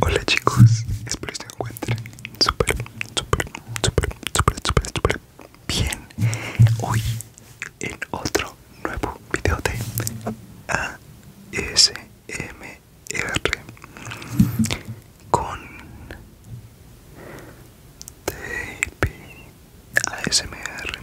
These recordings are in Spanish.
Hola chicos, espero que se encuentren súper, súper, súper, súper, súper, súper bien Hoy en otro nuevo video de ASMR Con ASMR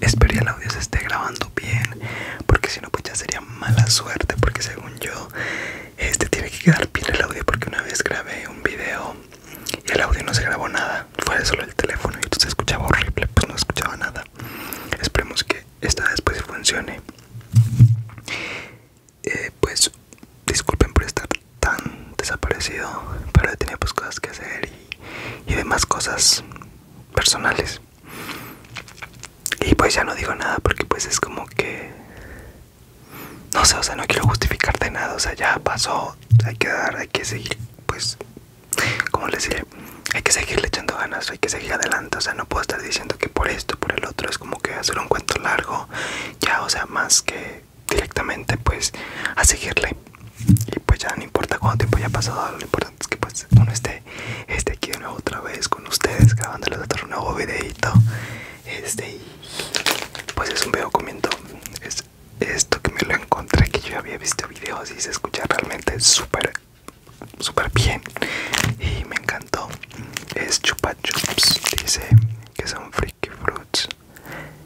Espero que el audio se esté grabando bien, porque si no pues ya sería mala suerte, porque según yo este tiene que quedar bien el audio, porque una vez grabé un video y el audio no se grabó nada, fue solo el teléfono y entonces escuchaba horrible, pues no escuchaba nada. Esperemos que esta después pues, funcione. Eh, pues disculpen por estar tan desaparecido, pero tenía pues cosas que hacer y demás cosas personales. Y pues ya no digo nada porque pues es como que... No sé, o sea, no quiero justificarte nada, o sea, ya pasó, hay que dar, hay que seguir, pues, como les diré, hay que seguirle echando ganas, hay que seguir adelante, o sea, no puedo estar diciendo que por esto, por el otro, es como que hacer un cuento largo, ya, o sea, más que directamente, pues, a seguirle. Y pues ya no importa cuánto tiempo haya pasado, lo importante es que pues uno esté este aquí de nuevo otra vez con ustedes grabando los otro nuevo videito este pues es un video comiendo es esto que me lo encontré que yo había visto videos y se escucha realmente súper súper bien y me encantó es chupa chups dice que son freaky fruits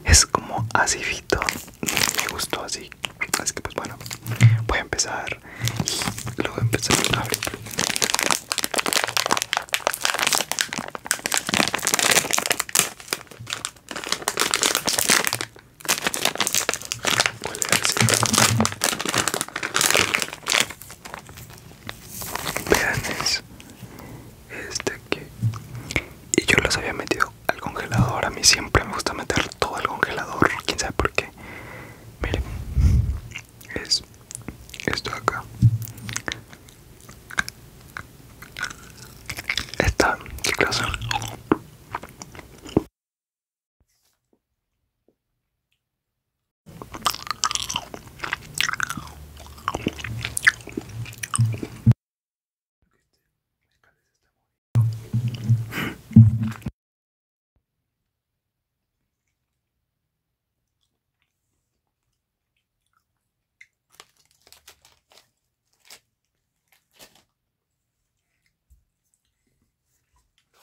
es como fito me gustó así así que pues bueno voy a empezar y luego voy a empezar a abrir. Vean eso. Este que Y yo los había metido al congelador. A mí siempre me gusta meter todo al congelador. Quién sabe por qué miren es esto acá esta chicas lo voy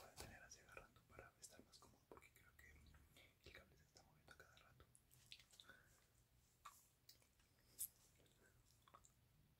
a tener hacia rato para estar más cómodo porque creo que el cable se está moviendo cada rato.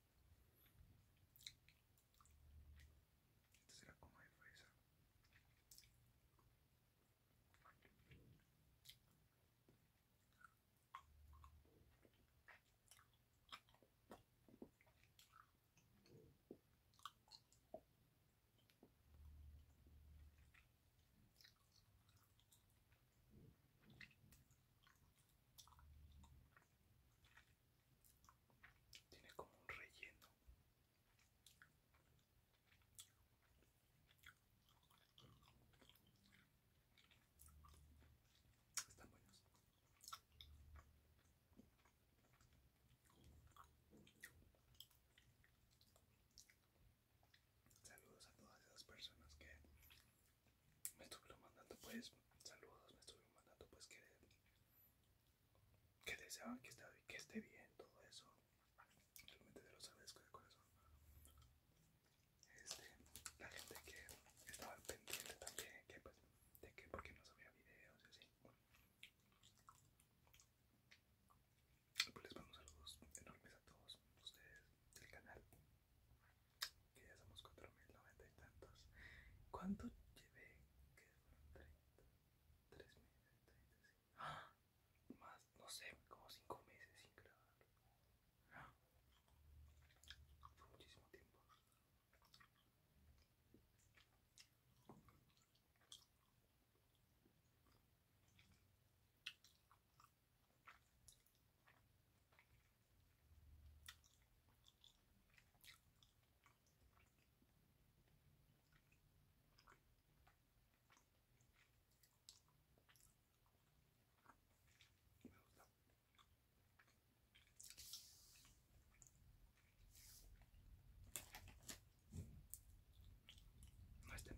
Esta será como tiene como un relleno. Están buenos. Saludos a todas esas personas que me estuvieron mandando pues saludos, me estuvieron mandando pues que, deseaban que, esté bien todo eso. Realmente te los agradezco de corazón. Este, la gente que estaba pendiente también, pues, de que porque no sabía videos y así. Pues les mando saludos enormes a todos ustedes del canal que ya somos cuatro mil noventa y tantos. ¿Cuánto llevé? Que fueron treinta Tres meses, ¡Ah! Más, no sé, como cinco meses sin grabar. Fue ah, muchísimo tiempo. No estén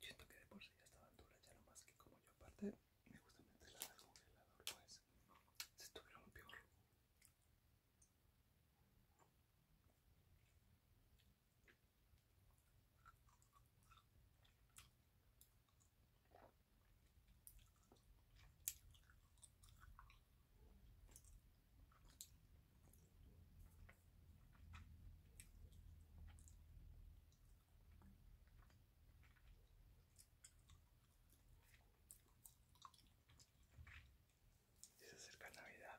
Siento que de por sí ya estaban duras, ya no más que como yo aparte me gusta meterlas el congelador, pues se lo peor. Se acerca Navidad.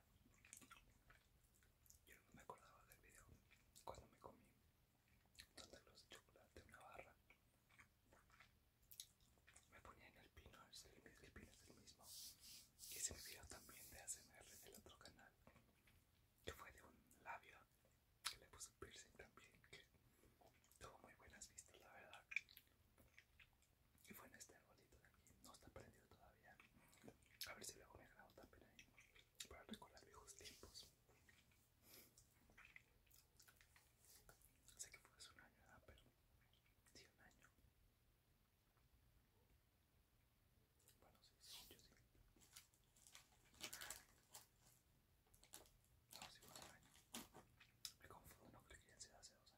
Yo no me acordaba del video cuando me comí donde los de chocolate, una barra me ponía en el pino, el, pino es el mismo. Hice me video también de ASMR del otro canal, que fue de un labio, que le puse piercing también, que tuvo muy buenas vistas, la verdad. Y fue en este botito también no está prendido todavía. A ver si luego me grabo también ahí, para recordar viejos tiempos. Sé que fue hace un año, pero sí, un año. Bueno, No, Me confundo, no que sea hace dos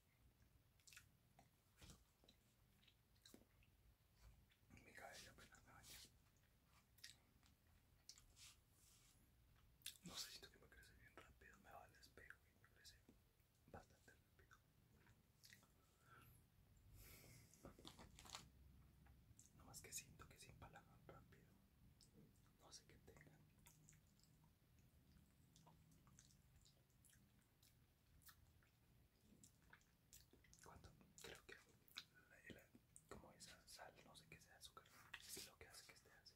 la baña. No sé, siento que me crece bien rápido, me vale, al espejo me crece bastante rápido. No más que siento que se empalagan rápido. No sé qué tenga. ¿Cuánto? creo que la, como esa sal, no sé qué sea azúcar, es lo que hace que esté así.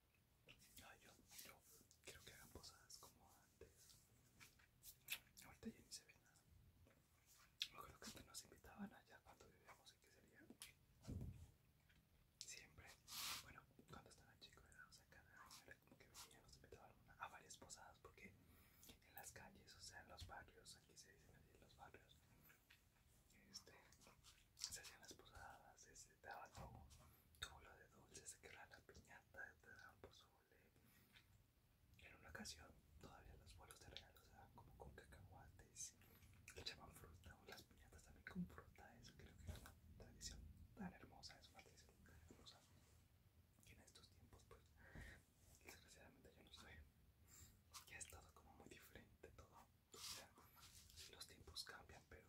No, yo, quiero que hagan posadas como antes. Ahorita ya ni se ve nada. Me acuerdo que nos invitaban allá cuando vivíamos en que sería. Siempre. Bueno, cuando estaba chicos era, o sea, cada año era como que venían, nos invitaban a varias posadas porque en las calles, o sea, en los barrios, aquí se dicen los barrios, este, se hacían las posadas, se, daba daban Tuvo lo de dulces que era la piñata de pozole En una ocasión, todavía los vuelos de regalo se dan como con cacahuates, le echaban fruta o las piñatas también con fruta. Eso creo que era una tradición tan hermosa, es una tradición tan hermosa. Y en estos tiempos, pues, desgraciadamente yo no soy Ya es todo como muy diferente, todo. los tiempos cambian, pero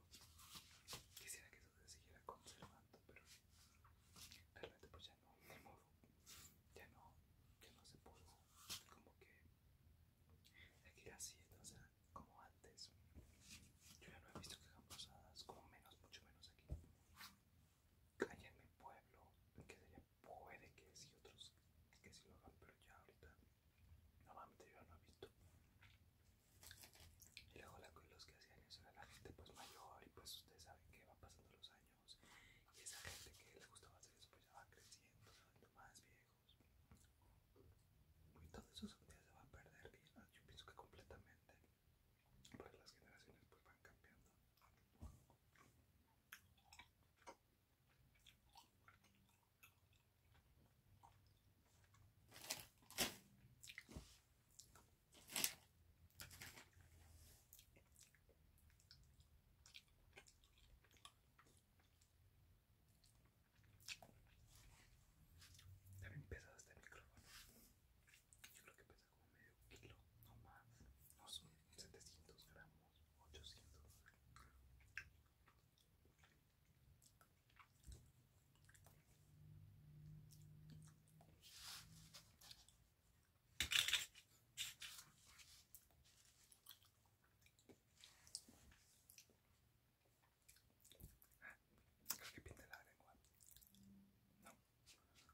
quisiera que de seguir siguiera conservando, pero realmente pues ya no, de modo, ya no, ya no se pudo como que seguir así, o sea, como antes. Yo ya no he visto que posadas, como menos, mucho menos aquí. Allá en mi pueblo, que sería, puede que si otros que sí lo hagan, pero ya ahorita normalmente yo ya no he visto. Y luego la, los que hacían eso era la gente pues mayor y pues ustedes saben que van pasando los años y esa gente que les gustaba hacer eso pues ya va creciendo, se más viejos. Y todo eso se van a perder, yo, pienso que completamente, porque las generaciones pues van cambiando pesa pesado este micrófono. Yo creo que pesa como medio kilo, no más. No son 700 gramos, 800. Creo que igual. No,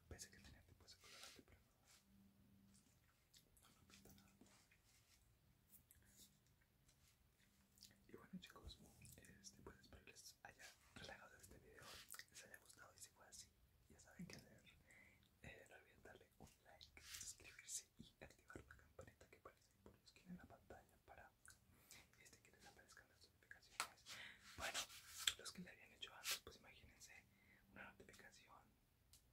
pensé que tenía tipo ese colorante, pero no, no pinta nada. Y bueno chicos, este, pues espero que les haya relajado este video, les haya gustado y si fue así, ya saben qué hacer. Eh, no olviden darle un like, suscribirse y activar la campanita que aparece por la esquina en la pantalla para este, que les aparezcan las notificaciones. Bueno, los que le habían hecho antes, pues imagínense una notificación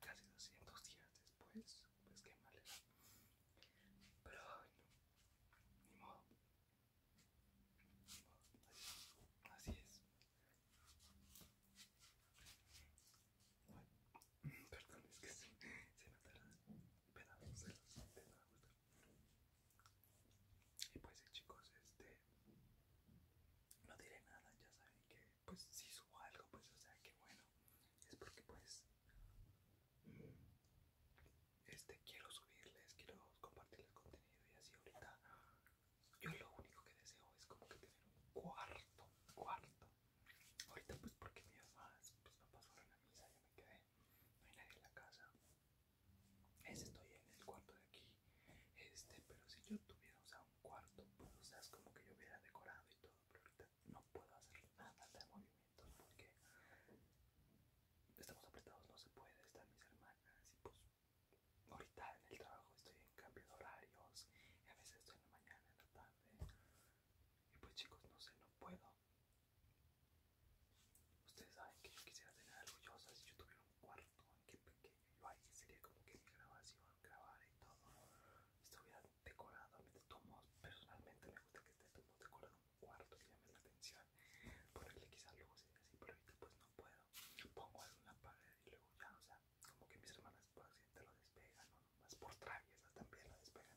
casi 200 días después, pues qué mal es Pero bueno, ni modo, Así es. perdón, es que se, me Y pues eh, chicos, este no diré nada, ya saben que pues si subo algo, pues o sea que bueno, es porque pues este quiero subirles, quiero compartirles contenido y así ahorita yo lo único que deseo es como que tener un cuarto, cuarto. Ahorita pues porque mi mamá pues, no pasó a la misa, yo me quedé, no hay nadie en la casa. Este estoy en el cuarto de aquí, este, pero si yo tuviera un cuarto, pues o sea, es como que yo hubiera decorado y todo, pero ahorita no puedo hacer nada de movimiento porque estamos apretados, no se puede, están mis hermanas y pues ahorita en el trabajo estoy en cambio de horarios y a veces estoy en la mañana, en la tarde y pues chicos, no sé, no puedo. Ustedes saben que yo quisiera tener orgullosa si yo tuviera un cuarto que pequeño, yo ahí sería como que mi grabación, grabar y todo, estuviera decorado, a mí de personalmente me gusta que esté todo decorado cuarto que llame la atención, ponerle quizás luces y así, pero ahorita pues no puedo. Pongo algo en la pared y luego ya, o sea, como que mis hermanas por pues, accidente lo despegan, o más por traviesas también lo despegan.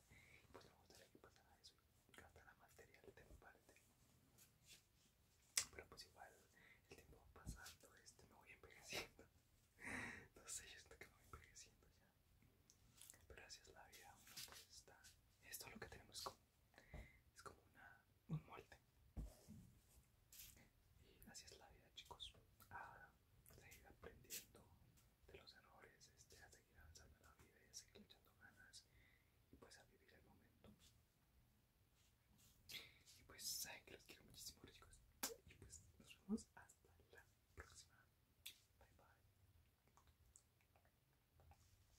Pues me gustaría que pasara eso y la materia de mi padre Pero pues igual el tiempo va pasando, este me voy envejeciendo. No sé, yo estoy que me voy envejeciendo ya. Pero así es la vida, uno pues está. Esto es lo que tenemos es como una, un molde. Y así es la vida, chicos. ahora seguir aprendiendo de los errores, este, a seguir avanzando en la vida y a seguir echando ganas y pues a vivir el momento. Y pues saben que los quiero muchísimo, chicos. Y pues nos vemos hasta la próxima. Bye bye.